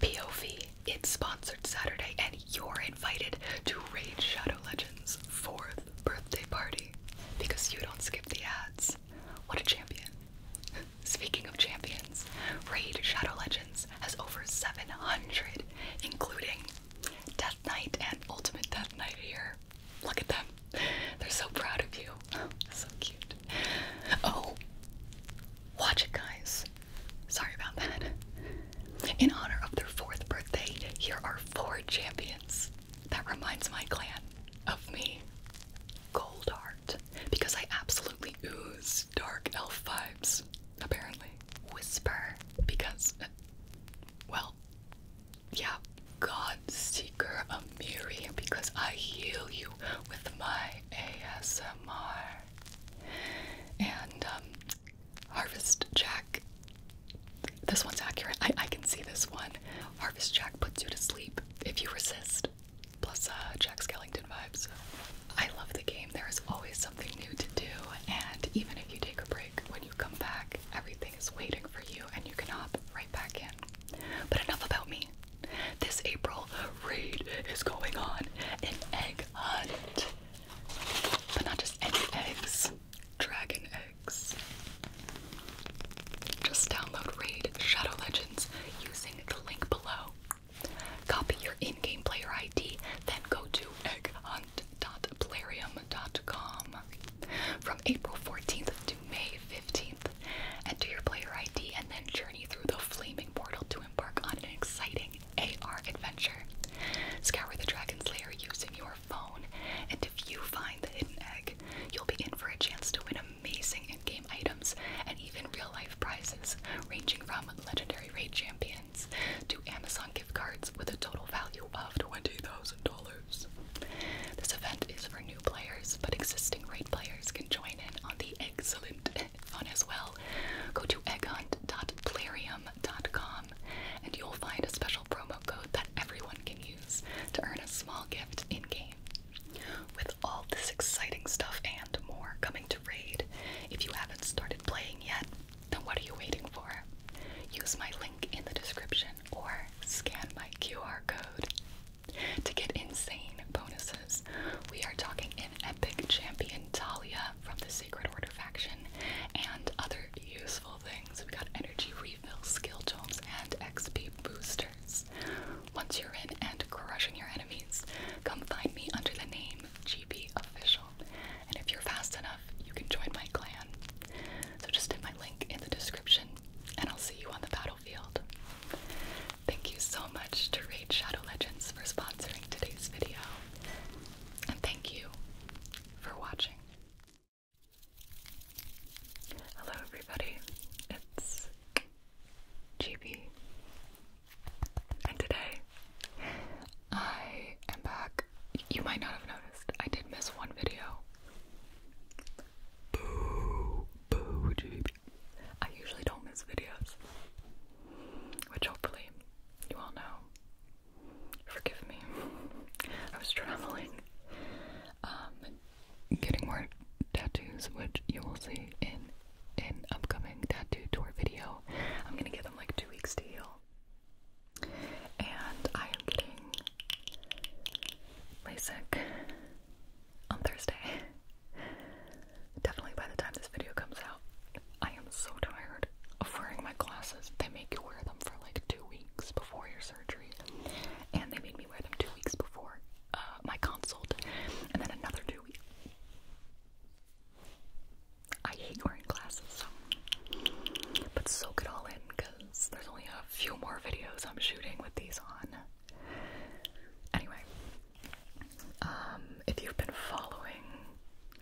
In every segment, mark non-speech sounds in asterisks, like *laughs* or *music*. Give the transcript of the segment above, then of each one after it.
POV, it's sponsored Saturday, and you're invited to Raid Shadow Legends' fourth birthday party because you don't skip the ads. What a champion! *laughs* Speaking of champions, Raid Shadow Legends has over 700, including Death Knight and Ultimate Death Knight here. Look at them. They're so proud of you. *laughs* So cute. Oh, watch it, guys. Sorry about that. In honor of their fourth birthday, here are four champions. That reminds my clan of me. Gold Heart. Because I absolutely ooze dark elf vibes, apparently. Whisper. Because, uh, well, yeah. God Seeker Amiri. Because I heal you with my ASMR. And um, Harvest Jack. This one's accurate. I, I can see this one. Harvest Jack puts you to sleep if you resist. Plus, uh, Jack Skellington vibes. I love the game. There is always something new to do, and even if you take a break, when you come back, everything is waiting for you, and you can hop right back in. But enough about me. This April, raid is going on an egg hunt. But not just any eggs, dragon eggs. Just download Raid Shadow Legends using the link below. Copy your in game player ID, then go to egghunt.plarium.com. From April 14th to May 15th, enter your player ID and then journey through the flaming portal to to on an exciting AR adventure. Scour the Dragon's Lair using your phone, and if you find the hidden egg, you'll be in for a chance to win amazing in-game items and even real-life prizes, ranging from legendary raid champions to Amazon gift cards with a total value of $20,000. This event is for new players, but existing raid players can join in on the excellent fun as well, go to egghunt.plarium.com and you'll find a special promo code that everyone can use to earn a small gift in game. With all this exciting stuff and more coming to Raid, if you haven't started playing yet, then what are you waiting for? Use my link in the description or scan my QR code to get insane bonuses, we are talking an epic champion Talia from the Sacred Order faction and other useful things. We got energy refill, skill tomes, and XP boosters. Once you're in and crushing your enemies, come find me under the name GB Official. And if you're fast enough, you can join my clan. So just hit my link in the description, and I'll see you on the battlefield. Thank you so much to Raid Shadow Legends for sponsoring today's video. And thank you for watching. Hello everybody, it's GB. And today I am back. You might not have noticed, I did miss one video. Boo, boo, GB. I usually don't miss videos, which hopefully you all know. Forgive me. *laughs* I was traveling, um, getting more tattoos, which you will see in an upcoming tattoo tour video. I'm gonna give them like two weeks to heal. And I am getting LASIK on Thursday. Definitely by the time this video comes out, I am so tired of wearing my glasses. They make you wear them for like two weeks before your surgery, and they made me wear them two weeks before uh, my consult, and then another two weeks. I hate wearing glasses, so. but soak it all in because there's only a few more videos I'm shooting with these on. Anyway, um, if you've been following,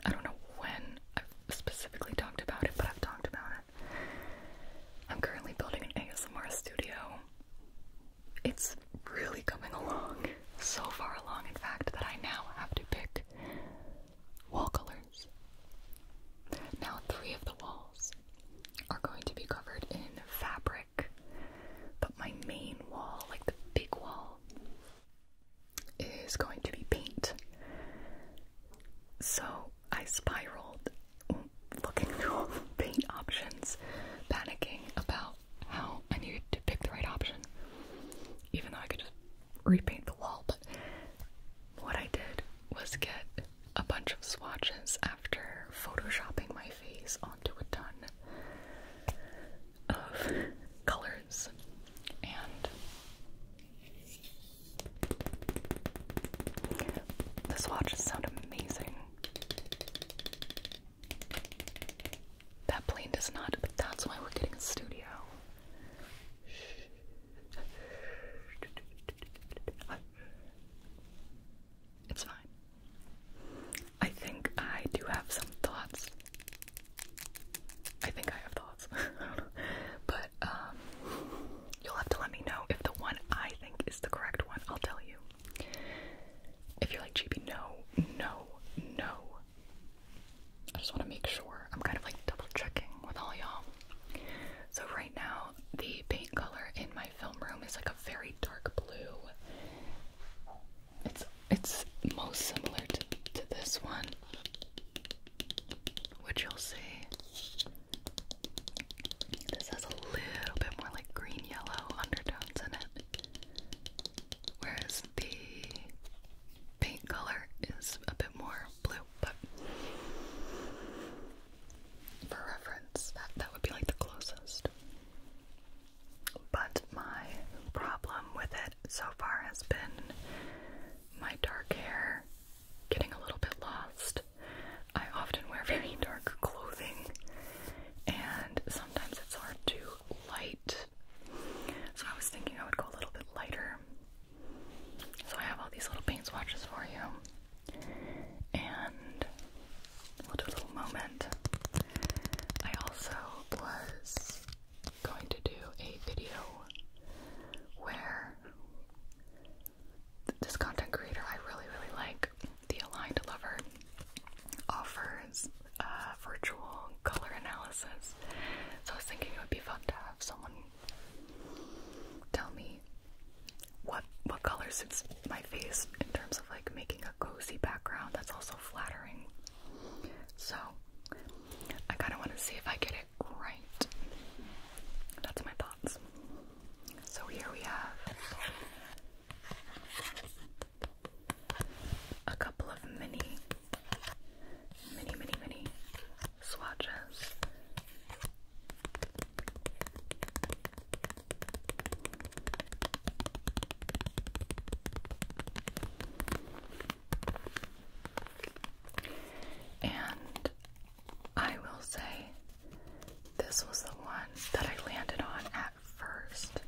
I don't know when I've specifically talked about it, but I've talked about it. I'm currently building an ASMR studio. It's really coming along, so far along, in fact, that I now have to pick wall colors. Now, three of the walls are going to be covered in fabric but my main wall, like the big wall, is going to be paint. So I spiraled looking through paint options, panicking about how I needed to pick the right option, even though I could just repaint the wall. But what I did was get a bunch of swatches after photoshopping my my face onto a ton of colors and this the just sound amazing. That plane does not, but that's why we're getting a studio. It's fine. I think I do have some thoughts. I think I have thoughts. I don't know. But um you'll have to let me know if the one I think is the correct one. I'll tell you. If you're like GB, no, no, no. I just want to make sure. I'm kind of like double checking with all y'all. So right now the paint color in my my film room is like a very dark blue. It's it's most similar to to this one, which you'll see. This has a little bit more like green yellow undertones in it, whereas the paint color is a bit more blue. But for reference, that that would be like the closest. But my problem with it so far has been my dark hair getting a little bit lost. I often wear very dark clothing, and sometimes it's hard to light. So I was thinking I would go a little bit lighter. So I have all these little paint swatches for you and a little moment. I also was going to do a video where this content creator I really, really like, the Aligned Lover, offers uh, virtual color analysis. So I was thinking it would be fun to have someone tell me what what color suits my face in terms of like making a cozy background that's also flattering. So I kind of want to see if I get it right. That's my thoughts. So here we have a couple of mini, mini, mini, mini swatches. And I will say this was the one that I landed on at first.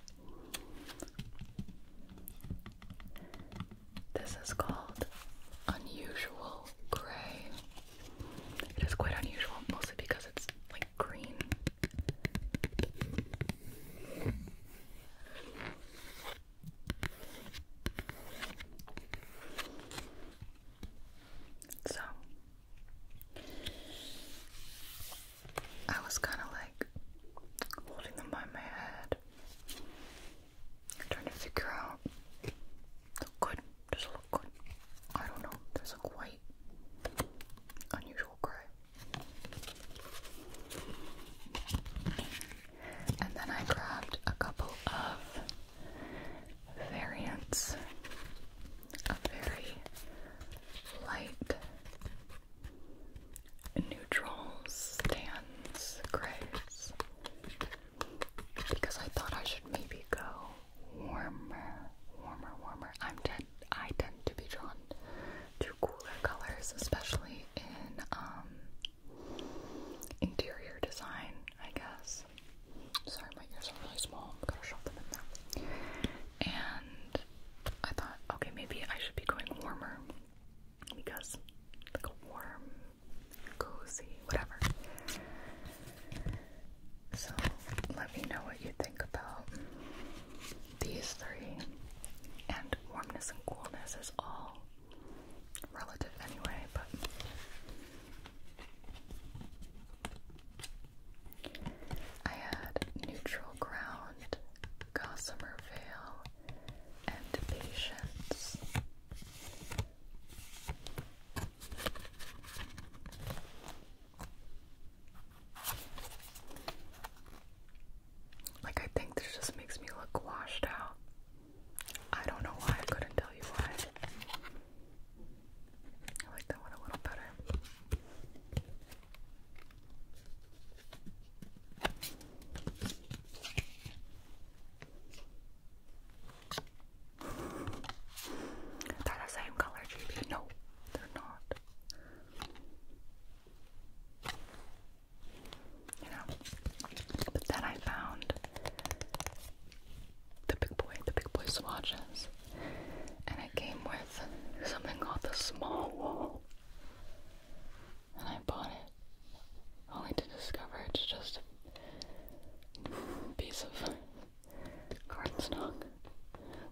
This is called Unusual Gray. It is quite unusual, mostly because it's like green. So I was kind of like holding them by my head, trying to figure out the good does look good? I don't know. There's a white, unusual grey. And then I grabbed a couple of variants. of very light neutrals, and grays. Because I thought I should maybe go warmer, warmer, warmer. i tend I tend to be drawn to cooler colors, especially in um interior design, I guess. Sorry, my ears are really small. I'm gonna shove them in there. And I thought, okay, maybe I should be going warmer because like a warm, cozy, whatever. So let me know what you think about these three. And warmness and coolness is all relative anyway, but I had neutral ground, gossamer veil, and patience. Like, I think this just makes me look washed out. I don't know why, I couldn't tell you why. I like that one a little better. They're the same color, No, they're not. You know, but then I found the big boy, the big boy swatches, and it came with something called the small And I bought it only to discover it's just a piece of cardstock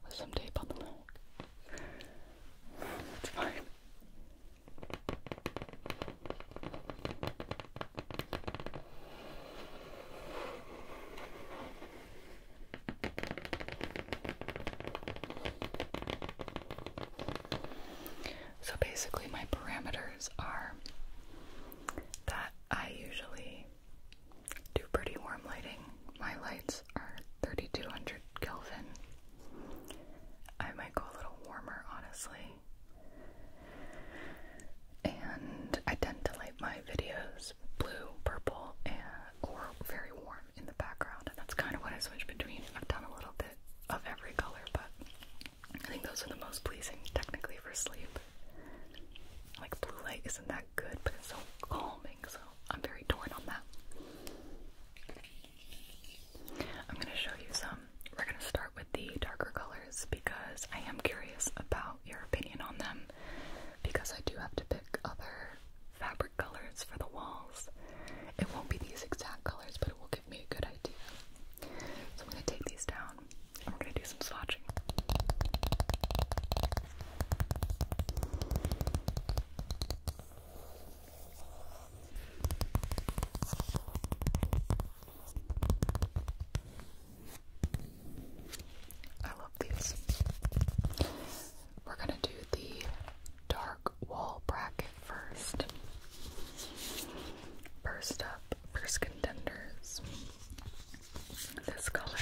with some tape on the back. That's fine. So basically, my parameters are that I usually do pretty warm lighting. My lights are 3200 Kelvin. I might go a little warmer, honestly. And I tend to light my videos blue, purple, and, or very warm in the background. And that's kind of what I switch between. I've done a little bit of every color, but I think those are the most pleasing technically for sleep. Like blue light isn't that good, but it's so calming, so I'm very torn on that. I'm gonna show you some. We're gonna start with the darker colors because I am curious about your opinion on them because I do have to pick other fabric colors for the walls. It won't be these exact colors, but it will give me a good idea. So I'm gonna take these down. I'm gonna do some swatching. I love these. We're going to do the dark wall bracket first. First up, first contenders. This color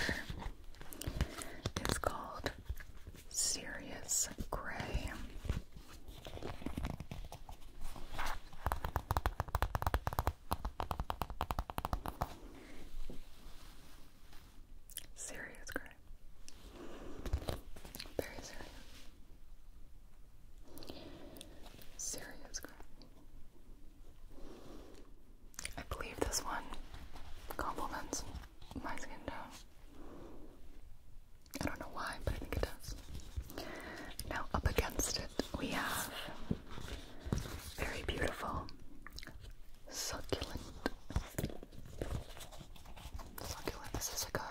is called Serious Gray. Serious gray. Very serious. Serious gray. I believe this one complements my skin tone. I don't know why, but I think it does. Now, up against it, we have very beautiful, succulent. Succulent. This is like a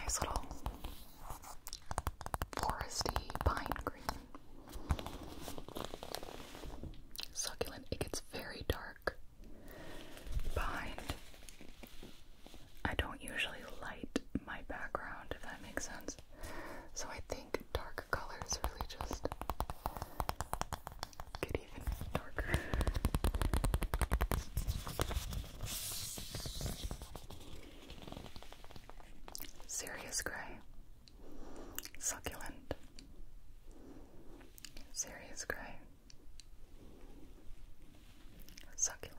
nice little foresty pine green. Succulent. It gets very dark behind. I don't usually light my background, if that makes sense. So I think dark colors really just get even darker. Serious Grey, Succulent, Serious Grey, Succulent.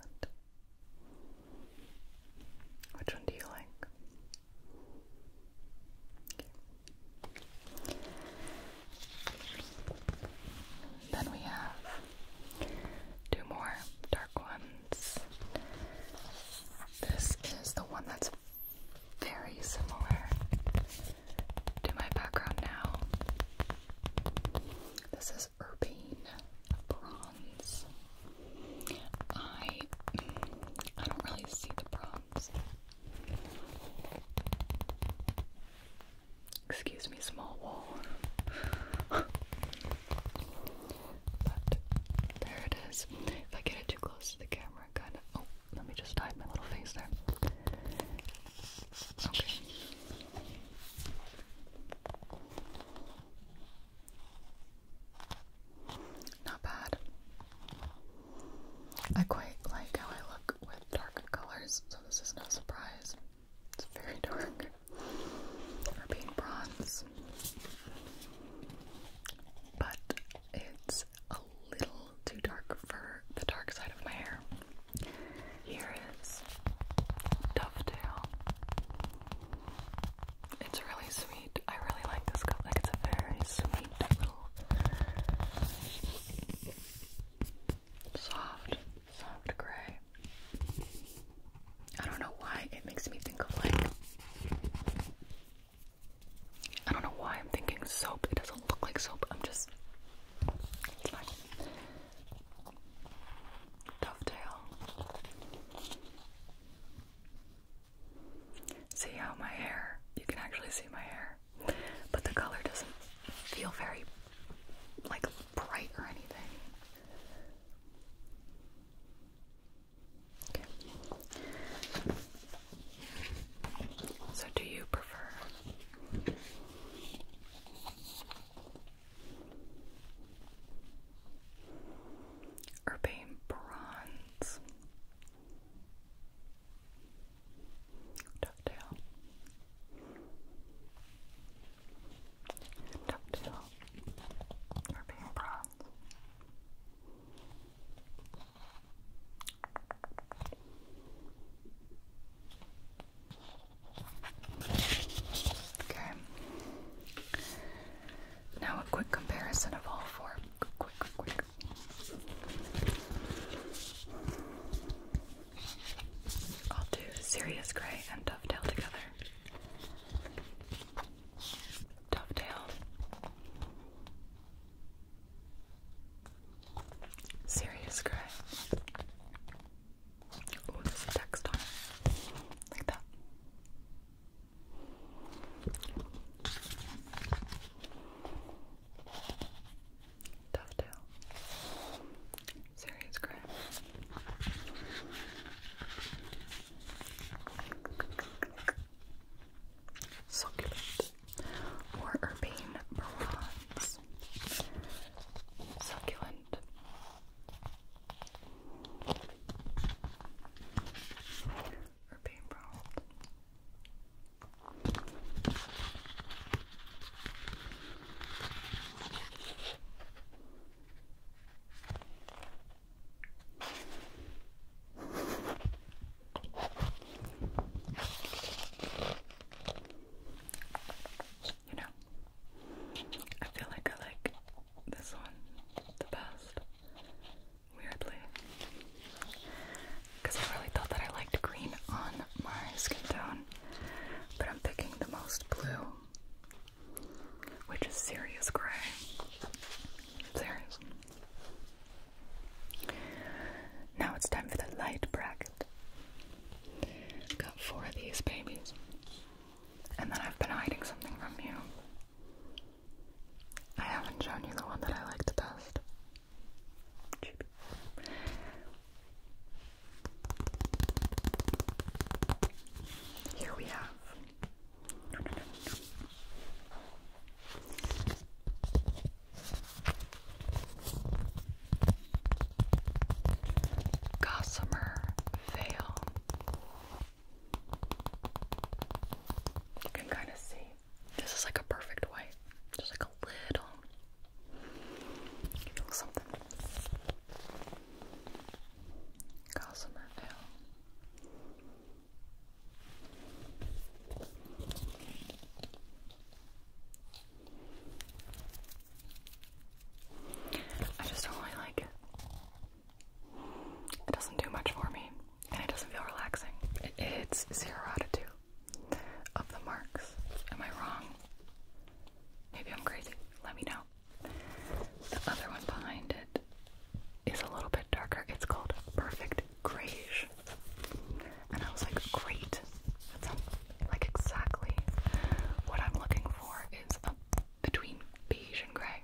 Which one do you like? Then we have two more dark ones. This is the one that's very similar to my background now. This is Urbane Bronze. I I don't really see the bronze. Excuse me, small wall. *laughs* But there it is. If I get it too close to the camera, kind of. Oh, let me just hide my little face there. Not bad. I quite like how I look with dark colors, so this is no surprise. It's very dark or being bronze. But it's a little too dark for the dark side of my hair. Here is Dovetail. It's really sweet. I really like this color. Like it's a very sweet little soft, soft gray. I don't know why it makes me think of like I don't know why I'm thinking soap. It doesn't look like soap. I'm just it's fine. See how my hair you can actually see my hair. But the color doesn't feel very like bright or anything. So, do you prefer urbane bronze, ducktail? Okay. Now a quick comparison of all four. I'll do Sirius Grey and Dovetail together. Dovetail. Serious grey. Oh, there's a text on it. Like that. Dovetail. Serious grey. Succulent or urbane bronze. Succulent. Urbane bronze. You know, I feel like I like this one the best, weirdly. Because I really thought that I liked green on my skin tone, but I'm picking the most blue which is serious gray. Serious. Now it's time for the light bracket. Got four of these babies. And then I've been hiding something from you. I haven't shown you the one that I like the best. Here we have Gossamer Veil. You can kind of see. This is like a perfect white. Just like a little something. I just don't really like it. It doesn't do much for me, and it doesn't feel relaxing. it's zero out of two of the marks. Am I wrong? Maybe I'm crazy. Let me know. The other one behind it is a little bit darker. It's called Perfect Grayish. And I was like, great. That's like exactly what I'm looking for is a, between beige and gray.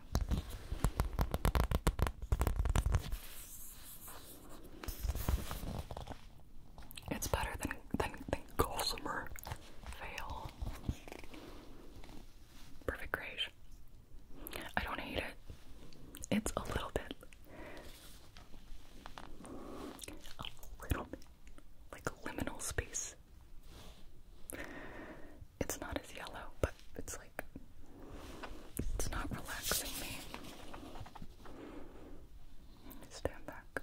It's better than than, than gossamer veil perfect grayish. I don't hate it. It's a little bit, a little bit like liminal space. It's not as yellow, but it's like it's not relaxing me. Stand back.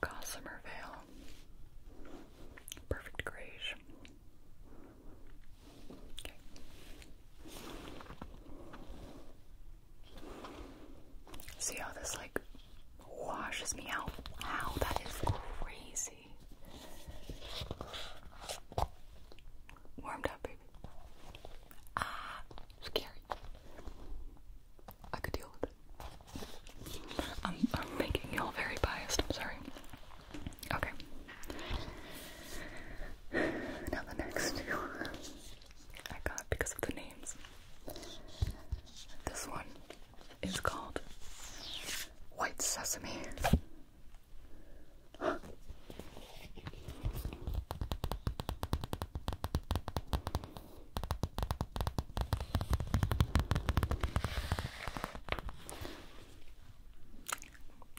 Gossamer Veil perfect grayish. See how this like washes me out? Wow, that is crazy. Warmed up, baby. Ah, scary. I could deal with it. I'm, I'm making y'all very biased, I'm sorry. Okay. Now the next two I got because of the names. This one is called White Sesame.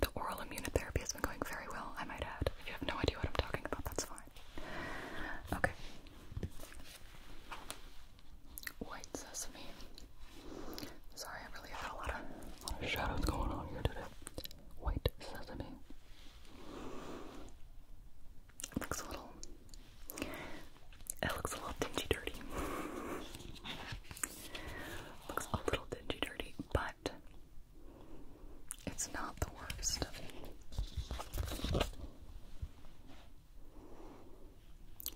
The oral immunotherapy has been going very well, I might add. you have no idea what I'm talking about, that's fine. Okay. White sesame. Sorry, I really had a lot of shadows going on here today. White sesame. It looks a little. It looks a little dingy dirty. looks a little dingy dirty, but it's not the worst.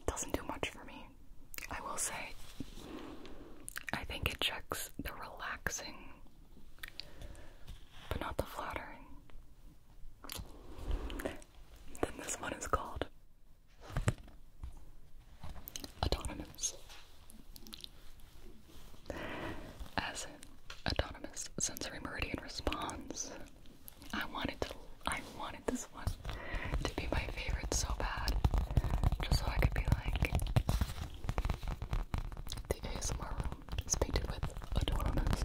doesn't do much for me. I will say, I think it checks the relaxing, but not the flattering. Then this one is called. Autonomous. As in autonomous sensory meridian response. I wanted to I wanted this one to be my favorite so bad. Just so I could be like the ASMR room is painted with autonomous.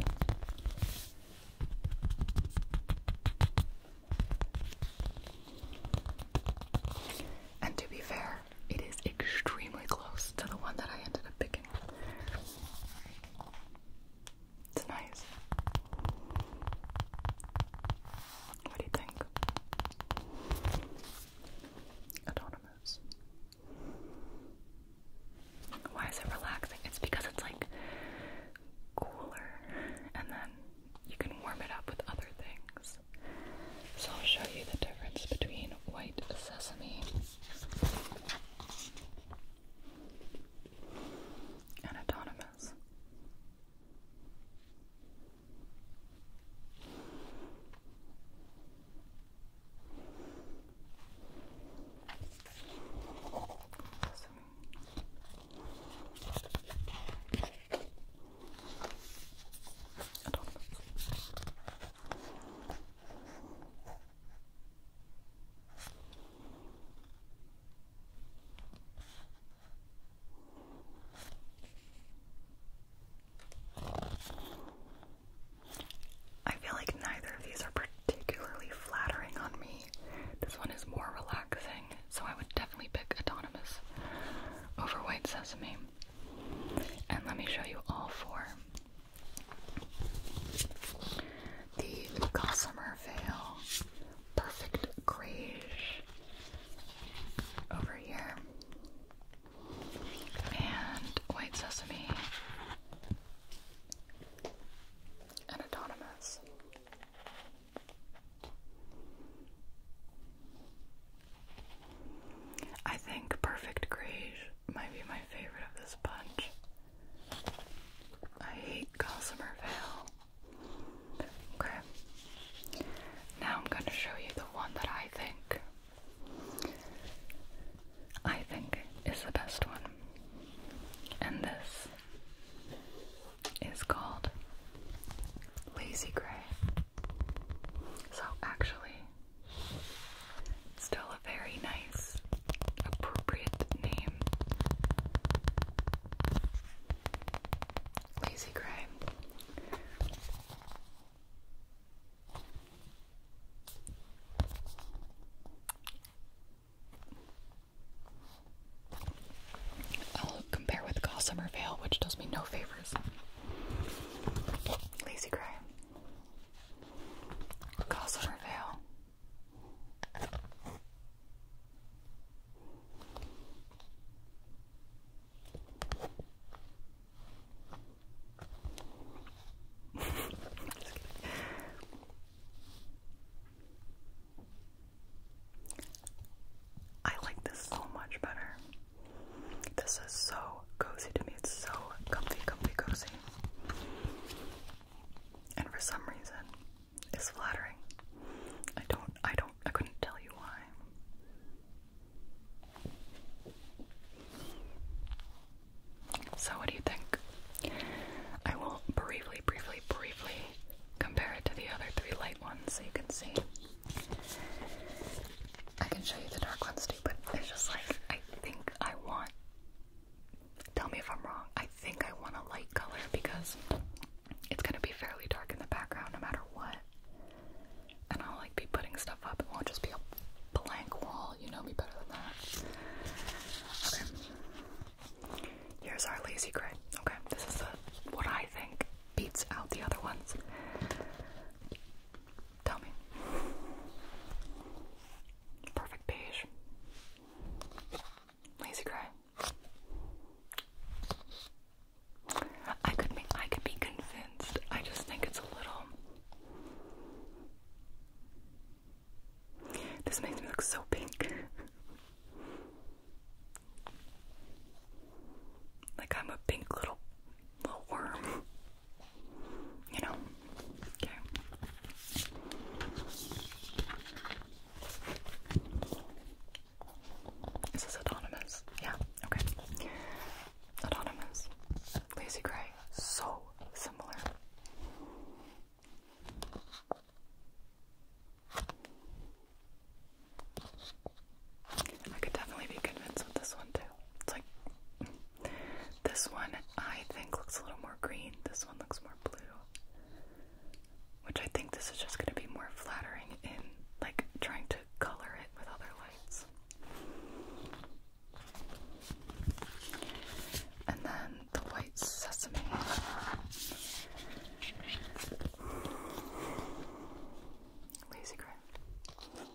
And to be fair, it is extremely close to the one that I ended up picking. It's nice. What do you think? Autonomous. Why is it relaxing? It's because it's like cooler and then you can warm it up with other things. So I'll show you the difference between white sesame and autonomous. I feel like neither of these are particularly flattering on me. This one is more relaxing, so I would definitely pick Autonomous over White Sesame. And let me show you all four. The Gossamer Veil, Perfect Greige over here, and White Sesame and autonomous. I think Perfect Greige might be my favorite of this bunch. I hate Gossamer Veil. Okay. Now I'm going to show you the one that I think I think is the best one and this is called Lazy Grey. So, actually, still a very nice, appropriate name. Lazy Grey. I'll compare with Gossamer Vale, which does me no favors. Lazy Gray. Gossamer Vale. I like this so much better. This is so cozy to me. It's so comfy, comfy, cozy. And for some reason, it's flattering. I don't, I don't, I couldn't tell you why. So, what do you think? I will briefly, briefly, briefly compare it to the other three light ones so you can see. I can show you the dark ones too, but it's just like I think I want. Tell me if I'm wrong. I think I want a light color because it's gonna be fairly dark in the background no matter what. And I'll like be putting stuff up. It won't just be a blank wall. You know me better than that. Okay. Here's our lazy gray. Okay, this is what I think beats out the other ones. Tell me. Perfect beige. Lazy gray. I could be I could be convinced. I just think it's a little this makes me look so pink. *laughs* like I'm a pink little little worm. You know? Okay. Is this autonomous? Yeah, okay. Autonomous. Lazy Gray. So similar. I could definitely be convinced with this one too. It's like this one I think looks a little more green, this one looks more blue. Which I think this is just gonna be more flattering in like trying to color it with other lights. And then the white sesame. Lazy gray.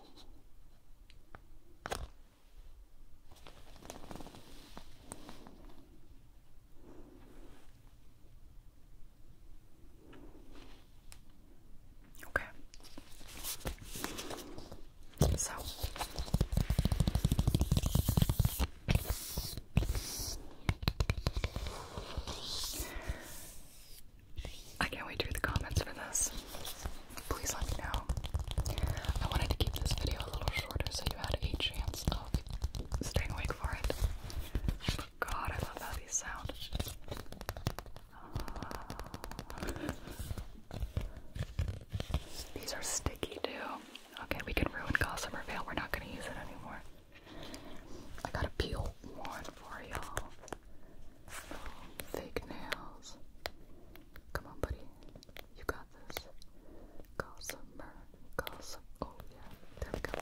Okay. So I can't wait to read the comments for this. Please let me know. I wanted to keep this video a little shorter so you had a chance of staying awake for it. God, I love how sound. Uh, these are sticky too. Okay, we can ruin Gossamer Veil. We're not going to use it anymore. I got a peel one for y'all. fake nails. Come on, buddy. You got this. Gossamer. Gossip. Oh, yeah. There we go.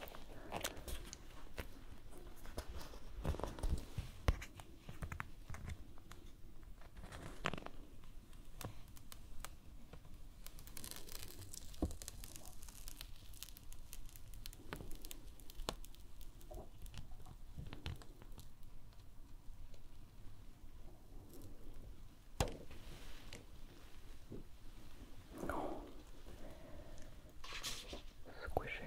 Oh. Squishy.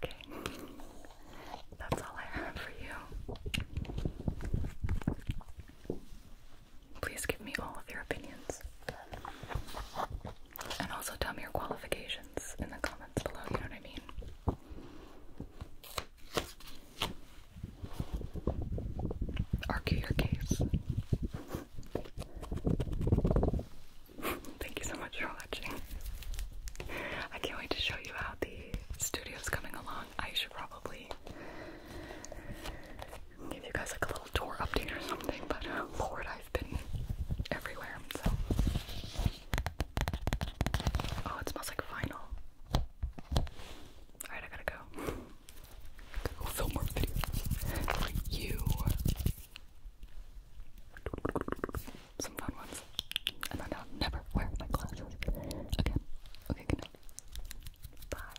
Okay, that's all I have for you. Please give me all of your opinions. And also tell me your qualifications in the comments below, you know what I mean? Argue your case. Thank you so much for watching. I can't wait to show you how the studio's coming along. I should probably give you guys like a little tour update or something, but uh, Lord, I've been everywhere, so. Oh, it smells like vinyl. Alright, I gotta go. I'll film more videos for you. Some fun ones. And then I'll never wear my glasses again. Okay, good Bye.